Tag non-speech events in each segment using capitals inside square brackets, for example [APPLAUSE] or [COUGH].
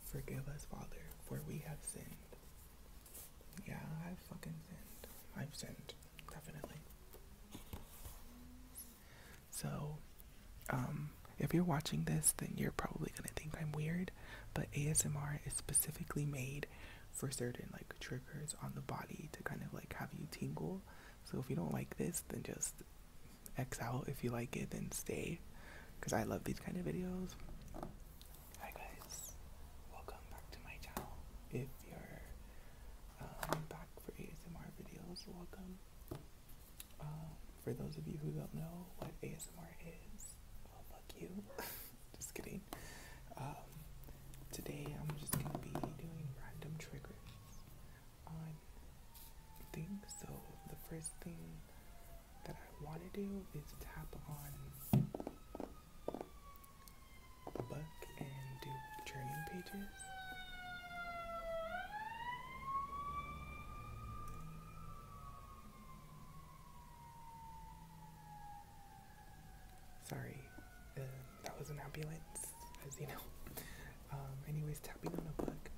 Forgive us, Father, for we have sinned. Yeah, I've fucking sinned. I've sinned, definitely. So, um, if you're watching this, then you're probably gonna think I'm weird, but ASMR is specifically made for certain like triggers on the body to kind of like have you tingle. So if you don't like this, then just X out. If you like it, then stay. Because I love these kind of videos. Hi, guys. Welcome back to my channel. If you're um, back for ASMR videos, welcome. Um, for those of you who don't know what ASMR is, well, fuck you. [LAUGHS] just kidding. Um, today, I'm just going to be doing random triggers on things. So the first thing that I want to do is tap on the book and do journey pages. Sorry, uh, that was an ambulance as you know. Um, anyways, tapping on a book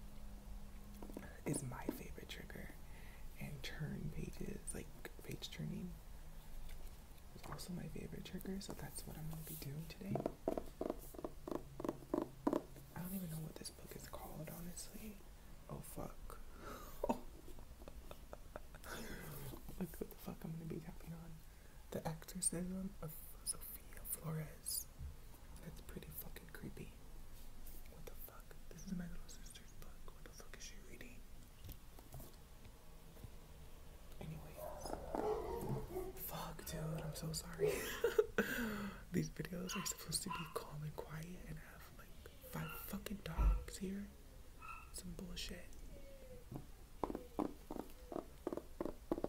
is my favorite trigger, and turn pages, like page turning, is also my favorite trigger. So that's what I'm gonna be doing today. I don't even know what this book is called, honestly. Oh fuck! oh. [LAUGHS] like what the fuck I'm gonna be tapping on? The exorcism of Sophia Flores. That's pretty fucking creepy. What the fuck? This is my little sister's book. What the fuck is she reading? Anyways. Fuck, dude. I'm so sorry. [LAUGHS] These videos are supposed to be calm and quiet and have like five fucking dogs here. Some bullshit.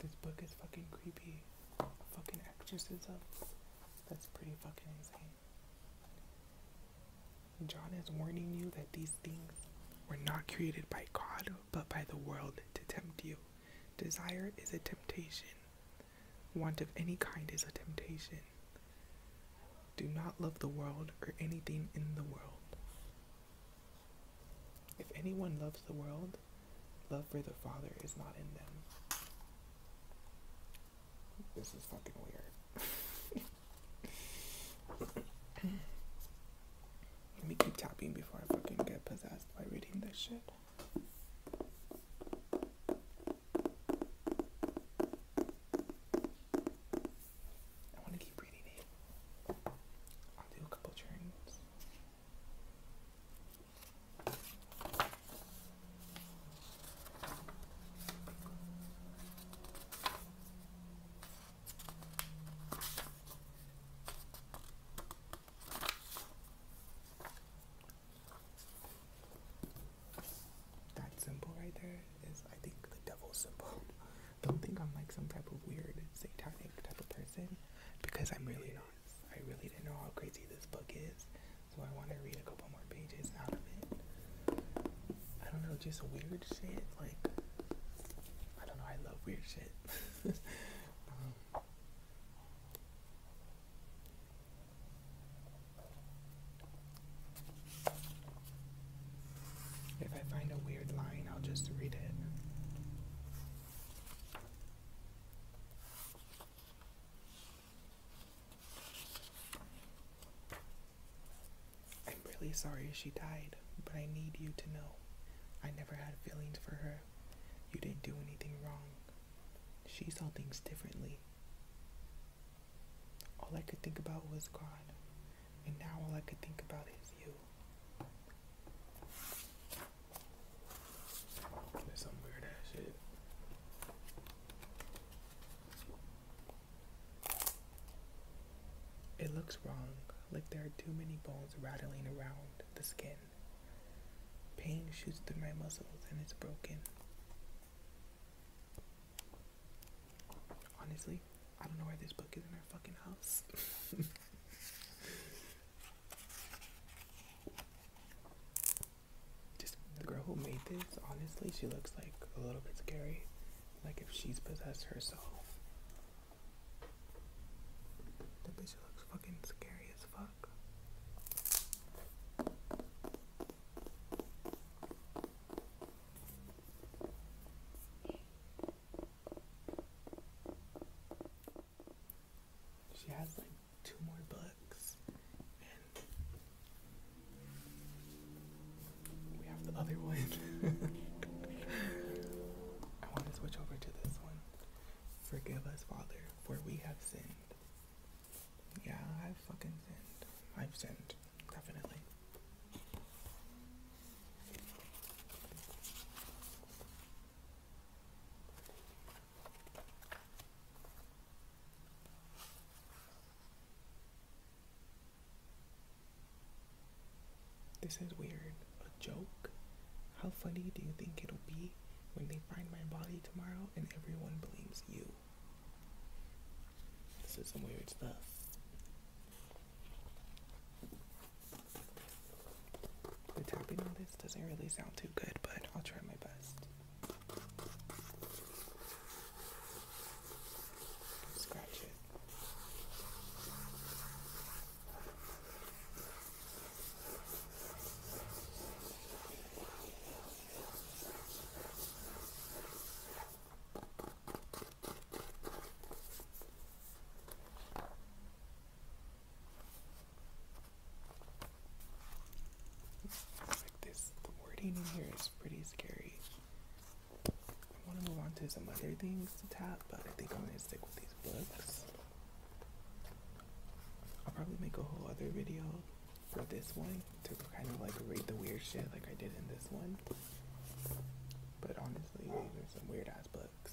This book is fucking creepy. Fucking exorcism. That's pretty fucking insane. John is warning you that these things were not created by God but by the world to tempt you. Desire is a temptation. Want of any kind is a temptation. Do not love the world or anything in the world. If anyone loves the world, love for the Father is not in them. This is fucking weird. [LAUGHS] Let me keep tapping before I fucking get possessed by reading this shit. I want to keep reading it. I'll do a couple turns. That symbol right there is, I think, the devil symbol. [LAUGHS] Don't think I'm like some type of weird satanic type of person because I'm really not. I really didn't know how crazy this book is, so I want to read a couple more pages out of it. I don't know, just weird shit like I don't know. I love weird shit. [LAUGHS] if I find a weird line, I'll just read it. I'm really sorry she died, but I need you to know I never had feelings for her. You didn't do anything wrong. She saw things differently. All I could think about was God, and now all I could think about is you. There's some weird ass shit. It looks wrong, like there are too many bones rattling around the skin. Pain shoots through my muscles and it's broken. Honestly, I don't know why this book is in our fucking house. [LAUGHS] just the girl who made this, honestly, she looks like a little bit scary. Like if she's possessed herself. That bitch looks fucking scary as fuck. She has like two more books we have the other one. [LAUGHS] I want to switch over to this one. Forgive us, Father, for we have sinned. Yeah, I've fucking sinned. I've sinned, definitely. This is weird. A joke? How funny do you think it'll be when they find my body tomorrow and everyone blames you? This is some weird stuff. The tapping on this doesn't really sound too good, but I'll try my best. Scratch it this, the wording in here is pretty scary. I want to move on to some other things to tap, but I think I'm gonna stick with these books. I'll probably make a whole other video for this one to kind of like read the weird shit like I did in this one. But honestly, these are some weird ass books.